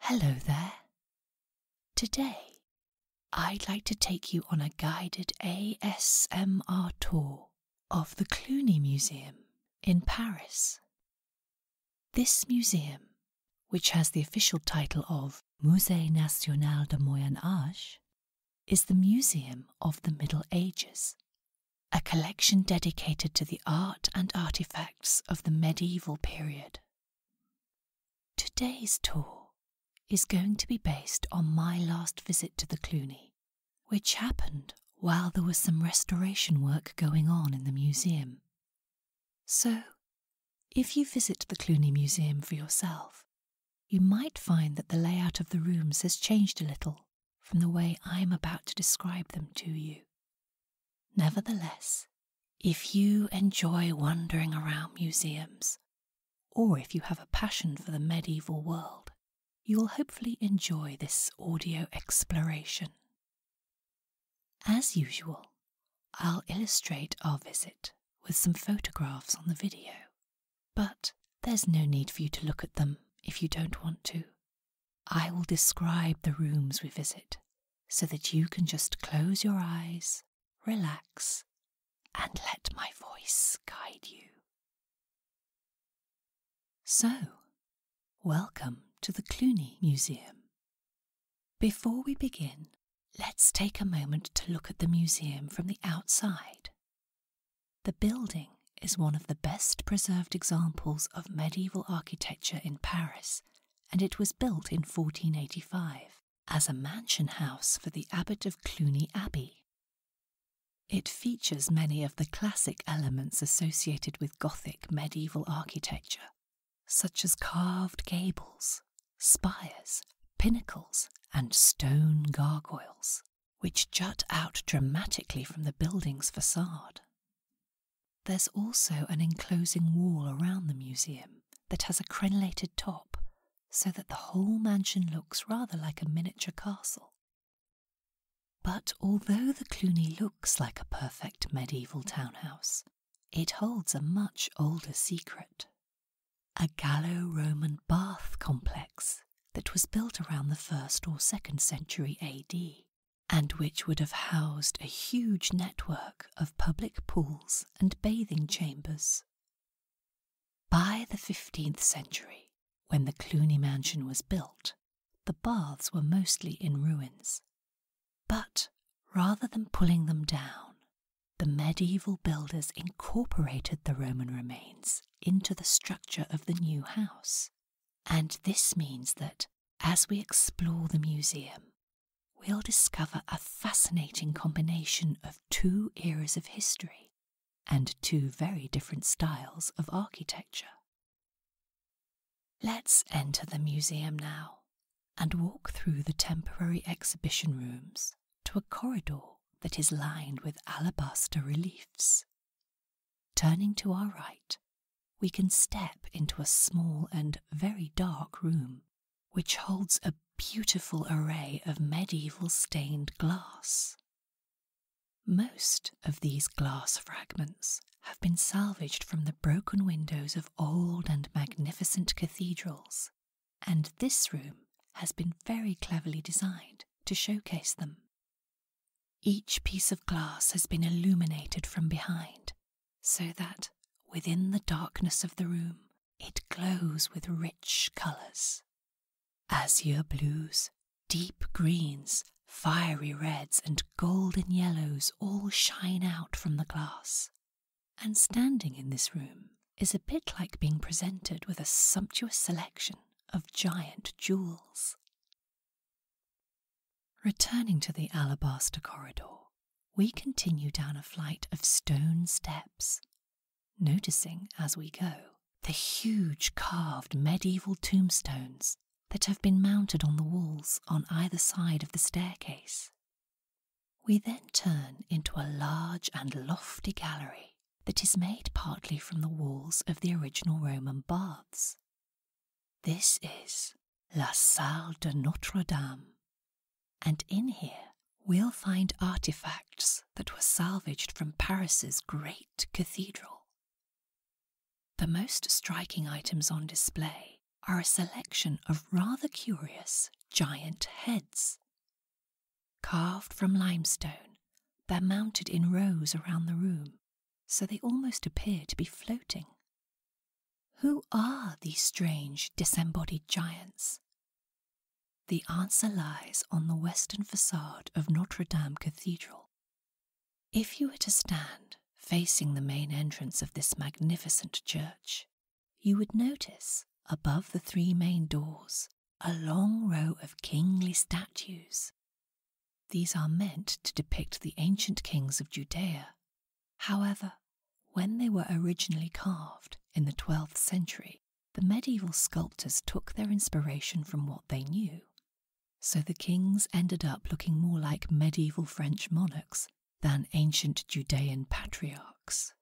Hello there. Today, I'd like to take you on a guided ASMR tour of the Cluny Museum in Paris. This museum, which has the official title of Musée National du Moyen Âge, is the Museum of the Middle Ages, a collection dedicated to the art and artifacts of the medieval period. Today's tour is going to be based on my last visit to the Cluny, which happened while there was some restoration work going on in the museum. So, if you visit the Cluny Museum for yourself, you might find that the layout of the rooms has changed a little from the way I am about to describe them to you. Nevertheless, if you enjoy wandering around museums, or if you have a passion for the medieval world, you will hopefully enjoy this audio exploration. As usual, I'll illustrate our visit with some photographs on the video, but there's no need for you to look at them if you don't want to. I will describe the rooms we visit so that you can just close your eyes, relax, and let my voice guide you. So, welcome to the Cluny Museum. Before we begin, let's take a moment to look at the museum from the outside. The building is one of the best preserved examples of medieval architecture in Paris and it was built in 1485 as a mansion house for the abbot of Cluny Abbey. It features many of the classic elements associated with Gothic medieval architecture, such as carved gables, spires, pinnacles, and stone gargoyles, which jut out dramatically from the building's facade. There's also an enclosing wall around the museum that has a crenellated top so that the whole mansion looks rather like a miniature castle. But although the Cluny looks like a perfect medieval townhouse, it holds a much older secret a Gallo Roman bath complex that was built around the 1st or 2nd century AD and which would have housed a huge network of public pools and bathing chambers. By the 15th century, when the Cluny mansion was built, the baths were mostly in ruins. But rather than pulling them down, the medieval builders incorporated the Roman remains into the structure of the new house and this means that as we explore the museum, we'll discover a fascinating combination of two eras of history and two very different styles of architecture. Let's enter the museum now and walk through the temporary exhibition rooms to a corridor that is lined with alabaster reliefs. Turning to our right, we can step into a small and very dark room, which holds a beautiful array of medieval stained glass. Most of these glass fragments have been salvaged from the broken windows of old and magnificent cathedrals, and this room has been very cleverly designed to showcase them. Each piece of glass has been illuminated from behind, so that, within the darkness of the room, it glows with rich colours azure blues, deep greens, fiery reds, and golden yellows all shine out from the glass. And standing in this room is a bit like being presented with a sumptuous selection of giant jewels. Returning to the alabaster corridor, we continue down a flight of stone steps, noticing as we go the huge carved medieval tombstones that have been mounted on the walls on either side of the staircase. We then turn into a large and lofty gallery that is made partly from the walls of the original Roman baths this is La Salle de Notre Dame, and in here we'll find artifacts that were salvaged from Paris's great cathedral. The most striking items on display are a selection of rather curious giant heads. Carved from limestone, that are mounted in rows around the room so they almost appear to be floating. Who are these strange disembodied giants? The answer lies on the western facade of Notre Dame Cathedral. If you were to stand facing the main entrance of this magnificent church, you would notice, above the three main doors, a long row of kingly statues these are meant to depict the ancient kings of Judea. However, when they were originally carved in the 12th century, the medieval sculptors took their inspiration from what they knew. So the kings ended up looking more like medieval French monarchs than ancient Judean patriarchs.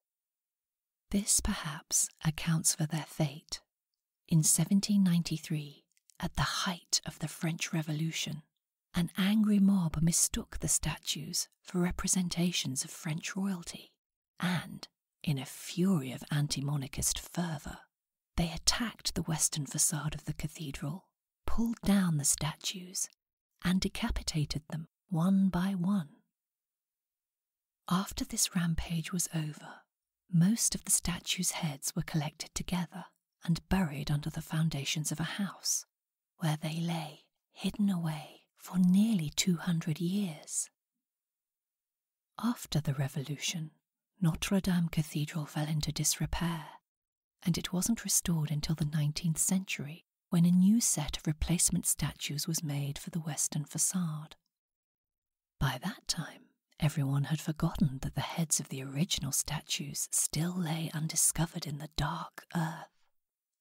This perhaps accounts for their fate. In 1793, at the height of the French Revolution, an angry mob mistook the statues for representations of French royalty, and, in a fury of anti monarchist fervour, they attacked the western facade of the cathedral, pulled down the statues, and decapitated them one by one. After this rampage was over, most of the statues' heads were collected together and buried under the foundations of a house, where they lay hidden away for nearly 200 years. After the Revolution, Notre Dame Cathedral fell into disrepair, and it wasn't restored until the 19th century when a new set of replacement statues was made for the western facade. By that time, Everyone had forgotten that the heads of the original statues still lay undiscovered in the dark earth,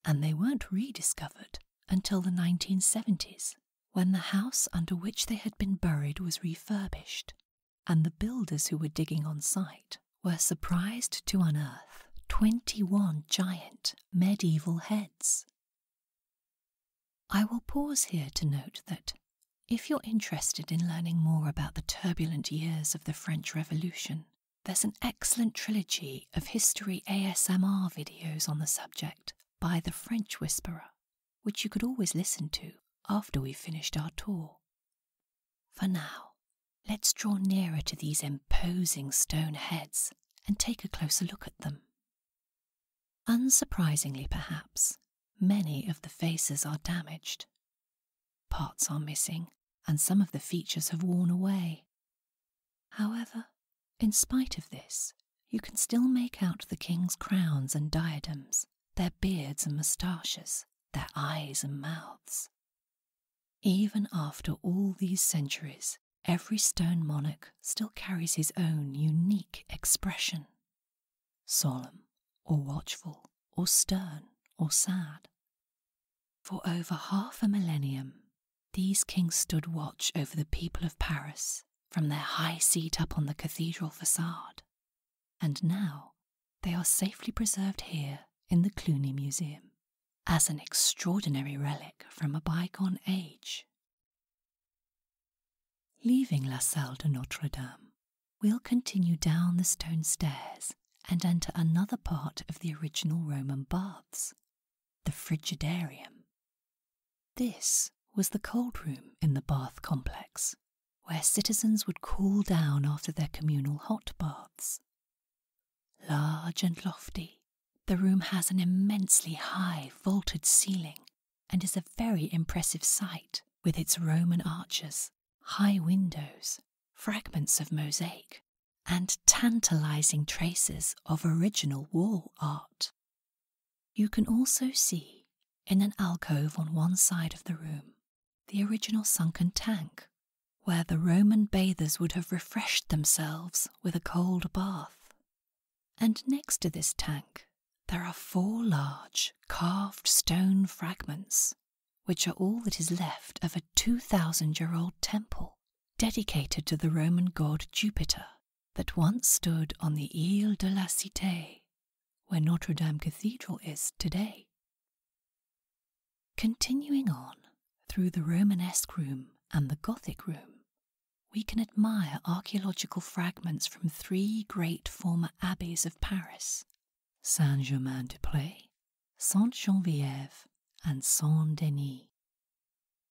and they weren't rediscovered until the 1970s, when the house under which they had been buried was refurbished, and the builders who were digging on site were surprised to unearth 21 giant medieval heads. I will pause here to note that if you're interested in learning more about the turbulent years of the French Revolution, there's an excellent trilogy of history ASMR videos on the subject by The French Whisperer, which you could always listen to after we've finished our tour. For now, let's draw nearer to these imposing stone heads and take a closer look at them. Unsurprisingly, perhaps, many of the faces are damaged Parts are missing, and some of the features have worn away. However, in spite of this, you can still make out the king's crowns and diadems, their beards and moustaches, their eyes and mouths. Even after all these centuries, every stone monarch still carries his own unique expression solemn or watchful or stern or sad. For over half a millennium, these kings stood watch over the people of Paris from their high seat up on the cathedral facade, and now they are safely preserved here in the Cluny Museum as an extraordinary relic from a bygone age. Leaving La Salle de Notre Dame, We'll continue down the stone stairs and enter another part of the original Roman baths, the Frigidarium. This was the cold room in the bath complex, where citizens would cool down after their communal hot baths. Large and lofty, the room has an immensely high vaulted ceiling and is a very impressive sight with its Roman arches high windows, fragments of mosaic, and tantalizing traces of original wall art. You can also see, in an alcove on one side of the room, the original sunken tank, where the Roman bathers would have refreshed themselves with a cold bath. And next to this tank there are four large carved stone fragments, which are all that is left of a 2,000 year old temple dedicated to the Roman god Jupiter that once stood on the Ile de la Cite, where Notre Dame Cathedral is today. Continuing on through the Romanesque room and the Gothic room, we can admire archaeological fragments from three great former abbeys of Paris Saint Germain des Prés, Sainte Geneviève, and Saint Denis.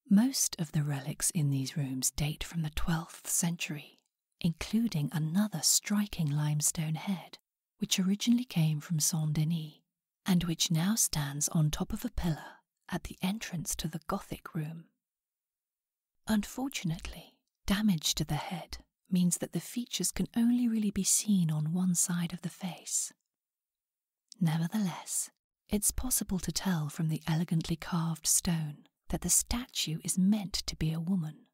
Most of the relics in these rooms date from the 12th century, including another striking limestone head, which originally came from Saint Denis and which now stands on top of a pillar at the entrance to the Gothic room. Unfortunately, damage to the head means that the features can only really be seen on one side of the face. Nevertheless, it's possible to tell from the elegantly carved stone that the statue is meant to be a woman.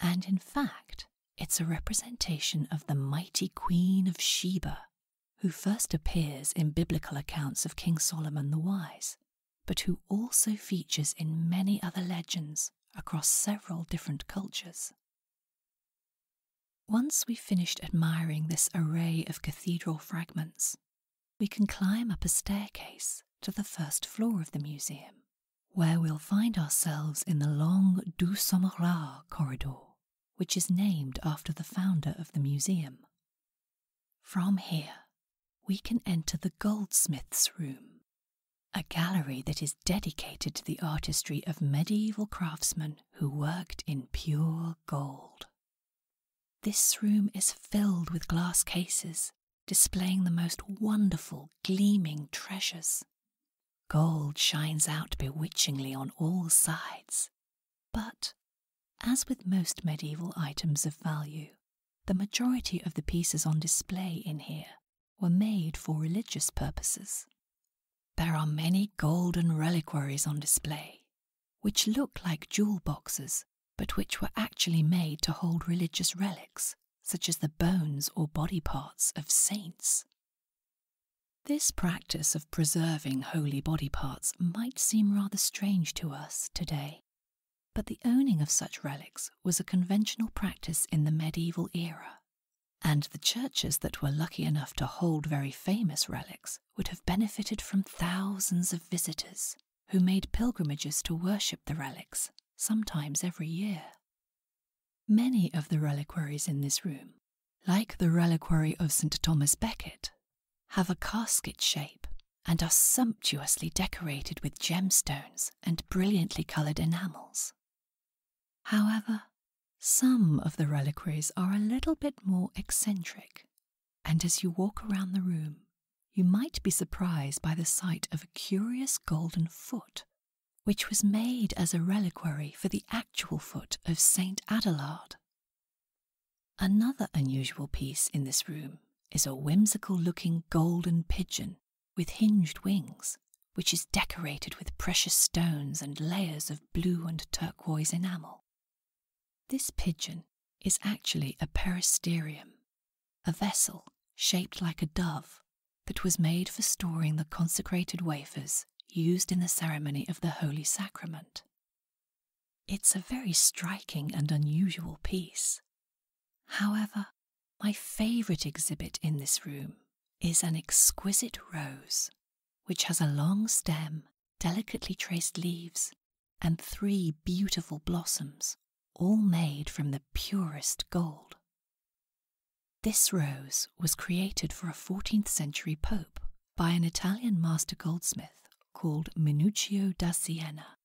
And in fact, it's a representation of the mighty Queen of Sheba, who first appears in biblical accounts of King Solomon the Wise but who also features in many other legends across several different cultures. Once we've finished admiring this array of cathedral fragments, we can climb up a staircase to the first floor of the museum, where we'll find ourselves in the long Du Sommerard corridor, which is named after the founder of the museum. From here, we can enter the goldsmith's room a gallery that is dedicated to the artistry of medieval craftsmen who worked in pure gold. This room is filled with glass cases displaying the most wonderful, gleaming treasures. Gold shines out bewitchingly on all sides, but, as with most medieval items of value, the majority of the pieces on display in here were made for religious purposes. There are many golden reliquaries on display, which look like jewel boxes but which were actually made to hold religious relics, such as the bones or body parts of saints. This practice of preserving holy body parts might seem rather strange to us today. But the owning of such relics was a conventional practice in the medieval era, and the churches that were lucky enough to hold very famous relics would have benefited from thousands of visitors who made pilgrimages to worship the relics, sometimes every year. Many of the reliquaries in this room, like the reliquary of St. Thomas Becket, have a casket shape and are sumptuously decorated with gemstones and brilliantly coloured enamels. However, some of the reliquaries are a little bit more eccentric, and as you walk around the room, you might be surprised by the sight of a curious golden foot, which was made as a reliquary for the actual foot of Saint Adelard. Another unusual piece in this room is a whimsical looking golden pigeon with hinged wings, which is decorated with precious stones and layers of blue and turquoise enamel. This pigeon is actually a peristerium, a vessel shaped like a dove that was made for storing the consecrated wafers used in the ceremony of the Holy Sacrament. It's a very striking and unusual piece. However, my favourite exhibit in this room is an exquisite rose which has a long stem, delicately traced leaves, and three beautiful blossoms, all made from the purest gold. This rose was created for a 14th century pope by an Italian master goldsmith called Minuccio da Siena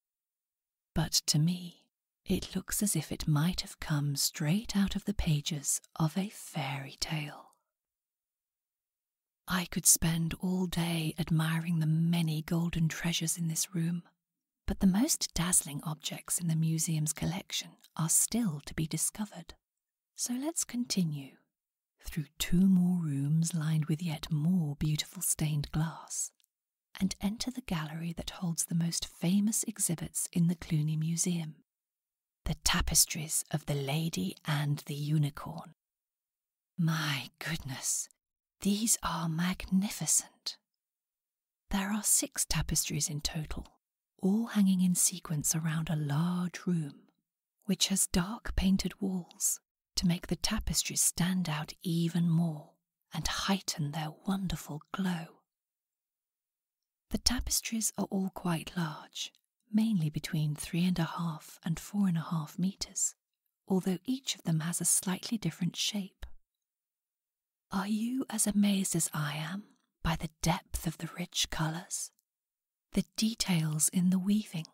but to me, it looks as if it might have come straight out of the pages of a fairy tale. I could spend all day admiring the many golden treasures in this room, but the most dazzling objects in the museum's collection are still to be discovered. So let's continue through two more rooms lined with yet more beautiful stained glass and enter the gallery that holds the most famous exhibits in the Cluny Museum the tapestries of the Lady and the Unicorn. My goodness, these are magnificent. There are six tapestries in total, all hanging in sequence around a large room, which has dark painted walls to make the tapestries stand out even more and heighten their wonderful glow. The tapestries are all quite large, mainly between three and a half and four and a half meters, although each of them has a slightly different shape. Are you as amazed as I am by the depth of the rich colors, the details in the weaving,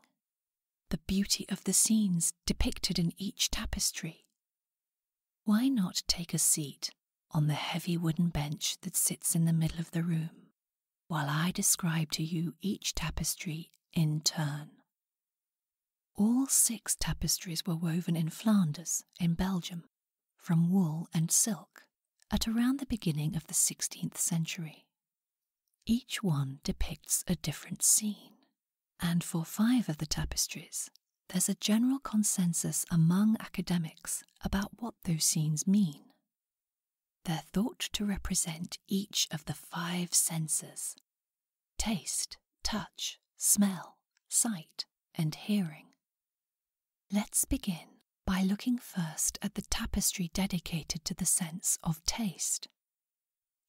the beauty of the scenes depicted in each tapestry, why not take a seat on the heavy wooden bench that sits in the middle of the room while I describe to you each tapestry in turn? All six tapestries were woven in Flanders, in Belgium, from wool and silk at around the beginning of the 16th century. Each one depicts a different scene and for five of the tapestries, there's a general consensus among academics about what those scenes mean. They're thought to represent each of the five senses taste, touch, smell, sight, and hearing. Let's begin by looking first at the tapestry dedicated to the sense of taste.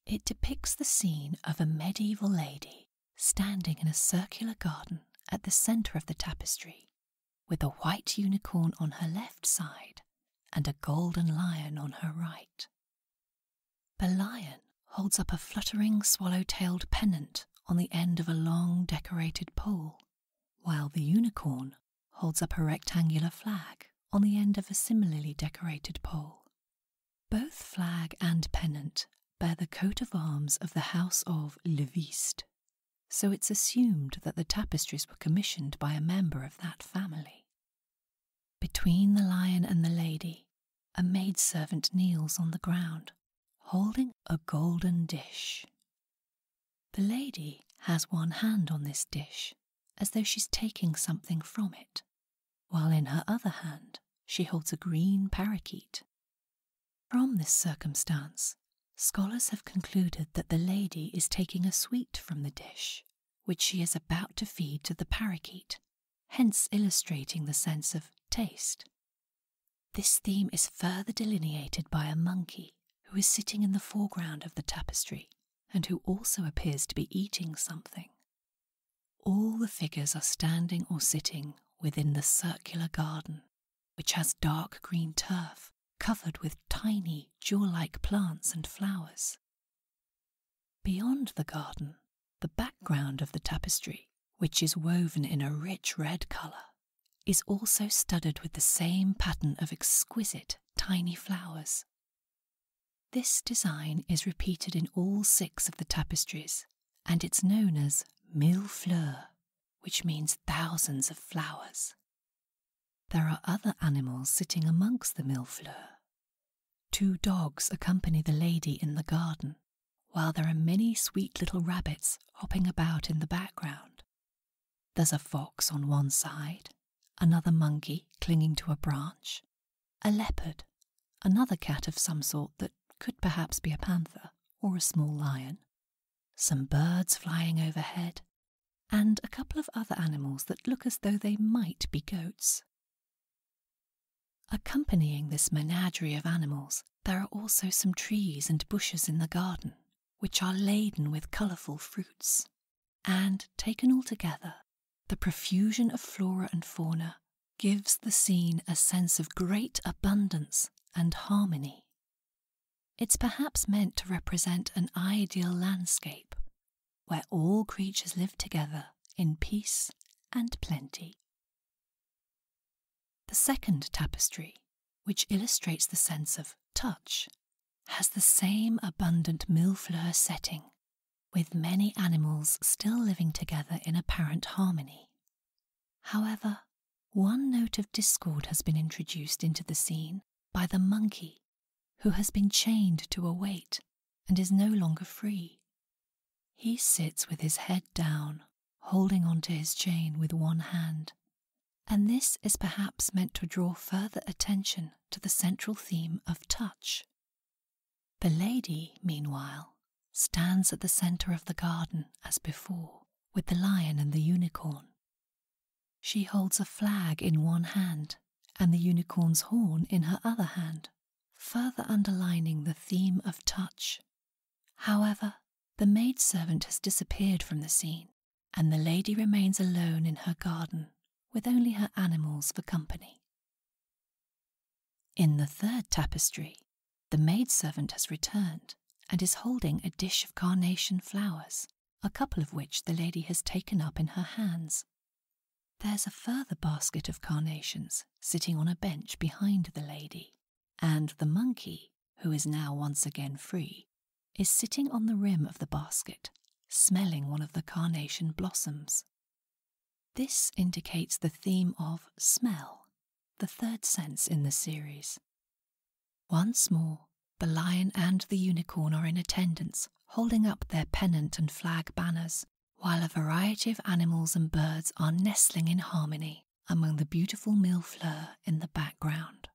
It depicts the scene of a medieval lady standing in a circular garden at the centre of the tapestry, with a white unicorn on her left side and a golden lion on her right. The lion holds up a fluttering swallow tailed pennant on the end of a long decorated pole, while the unicorn holds up a rectangular flag on the end of a similarly decorated pole. Both flag and pennant bear the coat of arms of the House of Leviste, so it's assumed that the tapestries were commissioned by a member of that family. Between the lion and the lady, a maid servant kneels on the ground, holding a golden dish. The lady has one hand on this dish, as though she's taking something from it while in her other hand she holds a green parakeet. From this circumstance, scholars have concluded that the lady is taking a sweet from the dish, which she is about to feed to the parakeet, hence illustrating the sense of taste. This theme is further delineated by a monkey who is sitting in the foreground of the tapestry and who also appears to be eating something. All the figures are standing or sitting within the circular garden, which has dark green turf covered with tiny jewel like plants and flowers. Beyond the garden, the background of the tapestry, which is woven in a rich red colour, is also studded with the same pattern of exquisite tiny flowers, this design is repeated in all six of the tapestries, and it's known as mille fleurs, which means thousands of flowers. There are other animals sitting amongst the mille fleurs. Two dogs accompany the lady in the garden, while there are many sweet little rabbits hopping about in the background. There's a fox on one side, another monkey clinging to a branch, a leopard, another cat of some sort that could perhaps be a panther or a small lion, some birds flying overhead, and a couple of other animals that look as though they might be goats. Accompanying this menagerie of animals, there are also some trees and bushes in the garden, which are laden with colourful fruits. And taken altogether, the profusion of flora and fauna gives the scene a sense of great abundance and harmony. It's perhaps meant to represent an ideal landscape where all creatures live together in peace and plenty. The second tapestry, which illustrates the sense of touch, has the same abundant millefleur setting with many animals still living together in apparent harmony. However, one note of discord has been introduced into the scene by the monkey, who has been chained to a weight and is no longer free. He sits with his head down, holding onto his chain with one hand, and this is perhaps meant to draw further attention to the central theme of touch. The lady, meanwhile, stands at the centre of the garden as before, with the lion and the unicorn. She holds a flag in one hand and the unicorn's horn in her other hand, further underlining the theme of touch. However, the maid servant has disappeared from the scene, and the lady remains alone in her garden with only her animals for company. In the third tapestry, the maid servant has returned and is holding a dish of carnation flowers, a couple of which the lady has taken up in her hands. There's a further basket of carnations sitting on a bench behind the lady, and the monkey, who is now once again free, is sitting on the rim of the basket, smelling one of the carnation blossoms. This indicates the theme of smell, the third sense in the series. Once more, the lion and the unicorn are in attendance, holding up their pennant and flag banners, while a variety of animals and birds are nestling in harmony among the beautiful millefleur in the background.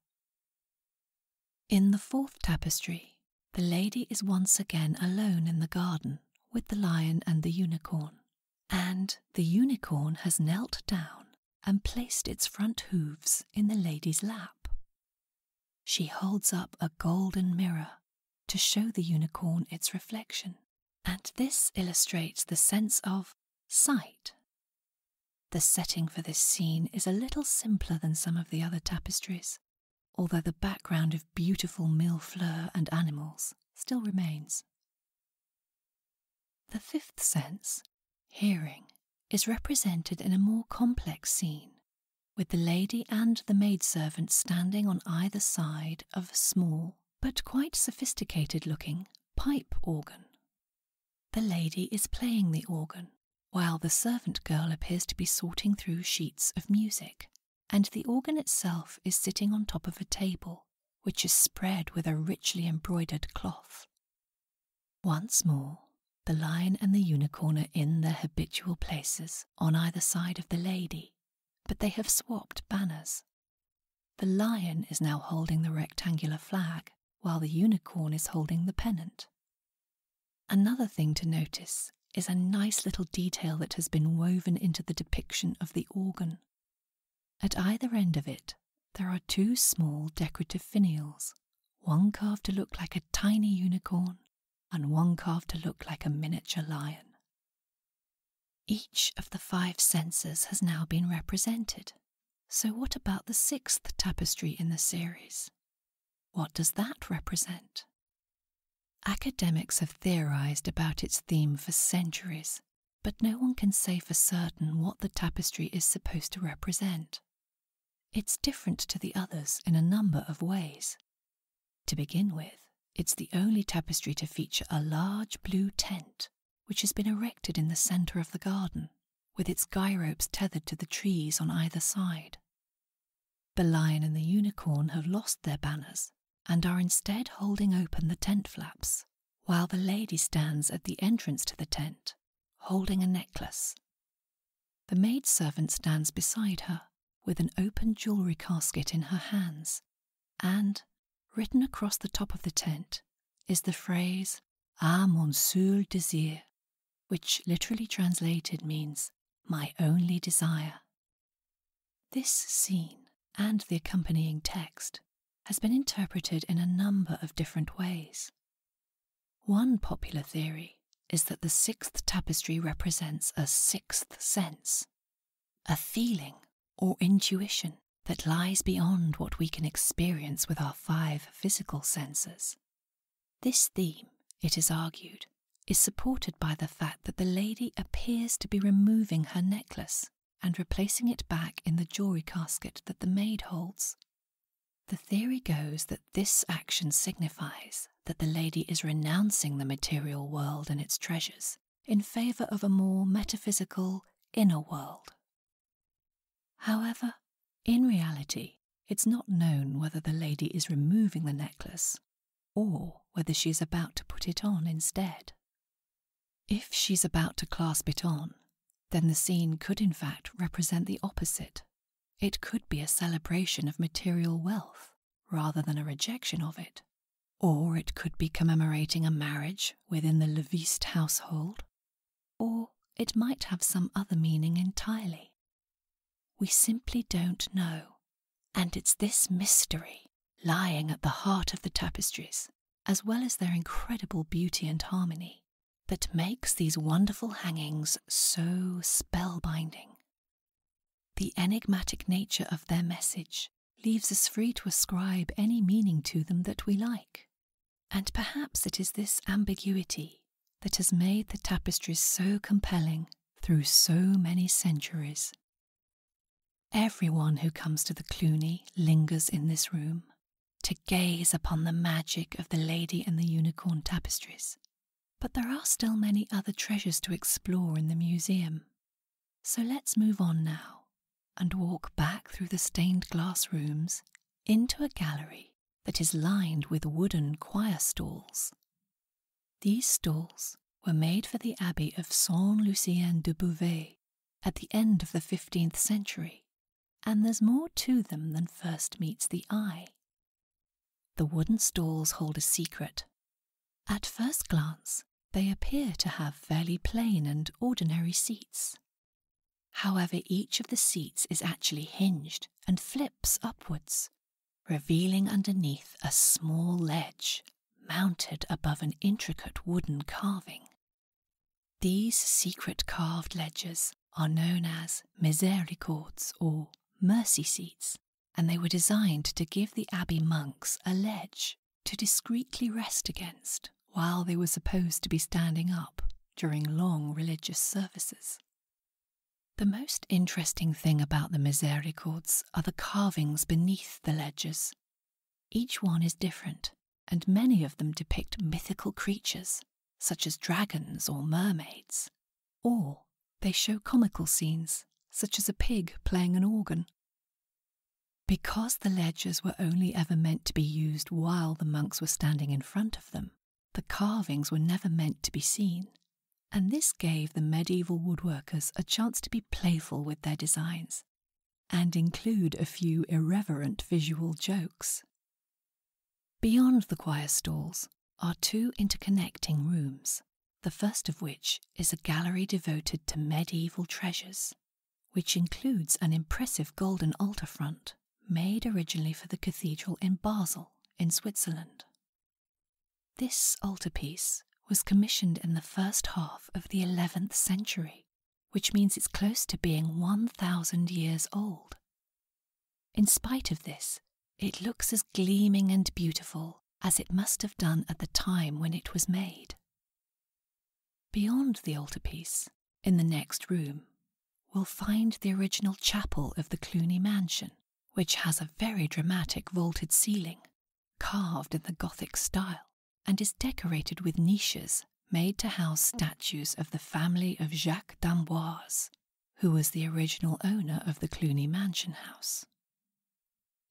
In the fourth tapestry, the lady is once again alone in the garden with the lion and the unicorn, and the unicorn has knelt down and placed its front hoofs in the lady's lap. She holds up a golden mirror to show the unicorn its reflection, and this illustrates the sense of sight. The setting for this scene is a little simpler than some of the other tapestries, although the background of beautiful millefleur and animals still remains. The fifth sense, hearing, is represented in a more complex scene, with the lady and the maid servant standing on either side of a small but quite sophisticated looking pipe organ. The lady is playing the organ, while the servant girl appears to be sorting through sheets of music and the organ itself is sitting on top of a table, which is spread with a richly embroidered cloth. Once more, the lion and the unicorn are in their habitual places on either side of the lady, but they have swapped banners. The lion is now holding the rectangular flag, while the unicorn is holding the pennant. Another thing to notice is a nice little detail that has been woven into the depiction of the organ. At either end of it, there are two small decorative finials, one carved to look like a tiny unicorn, and one carved to look like a miniature lion. Each of the five senses has now been represented. So, what about the sixth tapestry in the series? What does that represent? Academics have theorized about its theme for centuries, but no one can say for certain what the tapestry is supposed to represent. It's different to the others in a number of ways. To begin with, it's the only tapestry to feature a large blue tent, which has been erected in the center of the garden, with its guy ropes tethered to the trees on either side. The lion and the unicorn have lost their banners and are instead holding open the tent flaps, while the lady stands at the entrance to the tent, holding a necklace. The maid servant stands beside her with an open jewellery casket in her hands, and written across the top of the tent is the phrase "Ah, mon seul désir, which literally translated means my only desire. This scene and the accompanying text has been interpreted in a number of different ways. One popular theory is that the sixth tapestry represents a sixth sense, a feeling or intuition that lies beyond what we can experience with our five physical senses. This theme, it is argued, is supported by the fact that the lady appears to be removing her necklace and replacing it back in the jewelry casket that the maid holds. The theory goes that this action signifies that the lady is renouncing the material world and its treasures in favour of a more metaphysical inner world. However, in reality, it's not known whether the lady is removing the necklace or whether she is about to put it on instead. If she's about to clasp it on, then the scene could in fact represent the opposite. It could be a celebration of material wealth rather than a rejection of it, or it could be commemorating a marriage within the Leviste household, or it might have some other meaning entirely. We simply don't know, and it's this mystery lying at the heart of the tapestries, as well as their incredible beauty and harmony, that makes these wonderful hangings so spellbinding. The enigmatic nature of their message leaves us free to ascribe any meaning to them that we like. And perhaps it is this ambiguity that has made the tapestries so compelling through so many centuries. Everyone who comes to the Cluny lingers in this room to gaze upon the magic of the Lady and the Unicorn tapestries. But there are still many other treasures to explore in the museum. So let's move on now and walk back through the stained glass rooms into a gallery that is lined with wooden choir stalls these stalls were made for the abbey of Saint Lucien de Beauvais at the end of the 15th century, and there's more to them than first meets the eye. The wooden stalls hold a secret. At first glance, they appear to have fairly plain and ordinary seats. However, each of the seats is actually hinged and flips upwards, revealing underneath a small ledge mounted above an intricate wooden carving. These secret carved ledges are known as misericords or mercy seats, and they were designed to give the abbey monks a ledge to discreetly rest against while they were supposed to be standing up during long religious services. The most interesting thing about the Misericords are the carvings beneath the ledges. Each one is different, and many of them depict mythical creatures, such as dragons or mermaids, or they show comical scenes, such as a pig playing an organ. Because the ledges were only ever meant to be used while the monks were standing in front of them, the carvings were never meant to be seen and this gave the medieval woodworkers a chance to be playful with their designs and include a few irreverent visual jokes. Beyond the choir stalls are two interconnecting rooms, the first of which is a gallery devoted to medieval treasures, which includes an impressive golden altar front made originally for the cathedral in Basel in Switzerland this altarpiece was commissioned in the first half of the 11th century, which means it's close to being 1,000 years old. In spite of this, it looks as gleaming and beautiful as it must have done at the time when it was made. Beyond the altarpiece, in the next room, we'll find the original chapel of the Cluny Mansion, which has a very dramatic vaulted ceiling, carved in the Gothic style, and is decorated with niches made to house statues of the family of Jacques d'Amboise, who was the original owner of the Cluny Mansion House.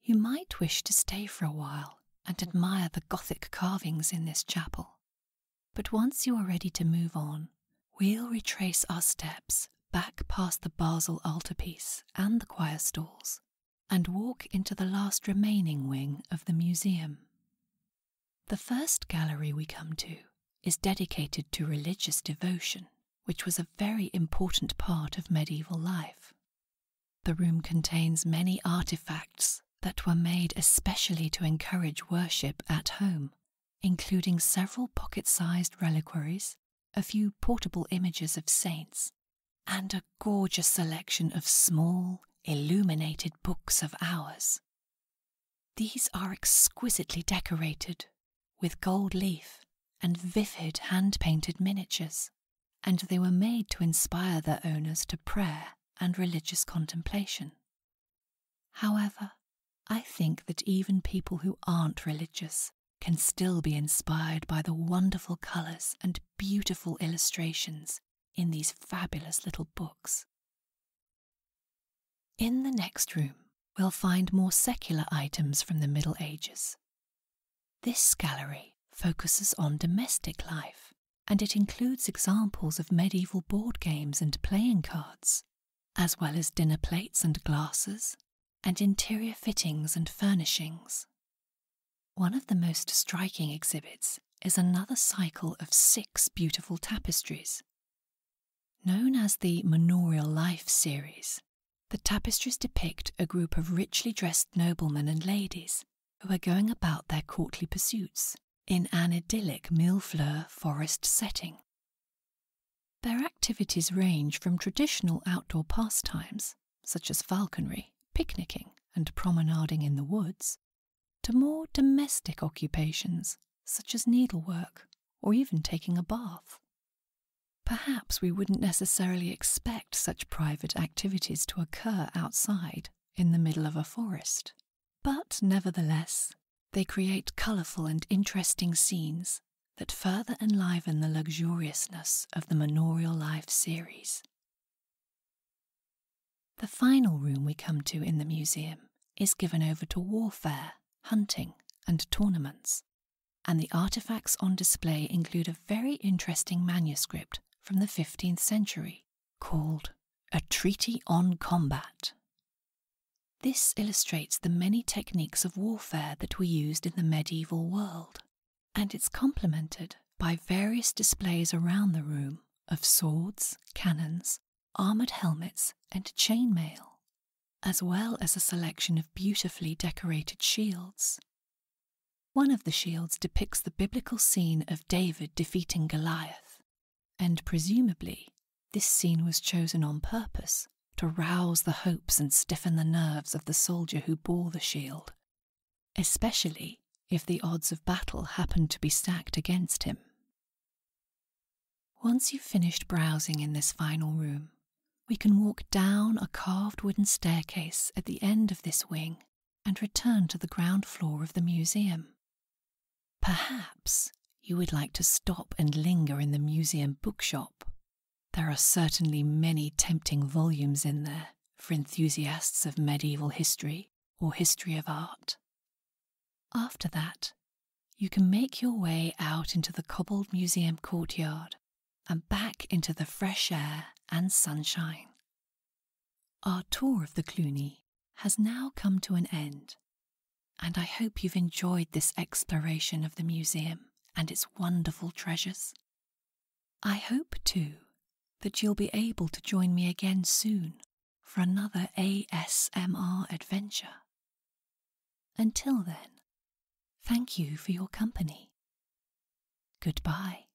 You might wish to stay for a while and admire the Gothic carvings in this chapel, but once you are ready to move on, We'll retrace our steps back past the Basel altarpiece and the choir stalls and walk into the last remaining wing of the museum. The first gallery we come to is dedicated to religious devotion, which was a very important part of medieval life. The room contains many artifacts that were made especially to encourage worship at home, including several pocket sized reliquaries a few portable images of saints, and a gorgeous selection of small, illuminated books of hours. These are exquisitely decorated with gold leaf and vivid hand painted miniatures, and they were made to inspire their owners to prayer and religious contemplation. However, I think that even people who aren't religious can still be inspired by the wonderful colours and beautiful illustrations in these fabulous little books. In the next room, we'll find more secular items from the Middle Ages. This gallery focuses on domestic life, and it includes examples of medieval board games and playing cards, as well as dinner plates and glasses, and interior fittings and furnishings. One of the most striking exhibits is another cycle of six beautiful tapestries. Known as the Manorial Life series, the tapestries depict a group of richly dressed noblemen and ladies who are going about their courtly pursuits in an idyllic millefleur forest setting. Their activities range from traditional outdoor pastimes, such as falconry, picnicking, and promenading in the woods, to more domestic occupations, such as needlework or even taking a bath. Perhaps we wouldn't necessarily expect such private activities to occur outside in the middle of a forest, but nevertheless, they create colourful and interesting scenes that further enliven the luxuriousness of the manorial life series. The final room we come to in the museum is given over to warfare, hunting, and tournaments, and the artifacts on display include a very interesting manuscript from the 15th century called A Treaty on Combat, this illustrates the many techniques of warfare that were used in the medieval world, and it's complemented by various displays around the room of swords, cannons, armoured helmets, and chainmail, as well as a selection of beautifully decorated shields. One of the shields depicts the biblical scene of David defeating Goliath, and presumably this scene was chosen on purpose to rouse the hopes and stiffen the nerves of the soldier who bore the shield, especially if the odds of battle happened to be stacked against him. Once you've finished browsing in this final room, we can walk down a carved wooden staircase at the end of this wing and return to the ground floor of the museum. Perhaps you would like to stop and linger in the museum bookshop there are certainly many tempting volumes in there for enthusiasts of medieval history or history of art. After that, you can make your way out into the cobbled museum courtyard and back into the fresh air and sunshine. Our tour of the Cluny has now come to an end, and I hope you've enjoyed this exploration of the museum and its wonderful treasures. I hope, too, that you'll be able to join me again soon for another ASMR adventure. Until then, thank you for your company. Goodbye.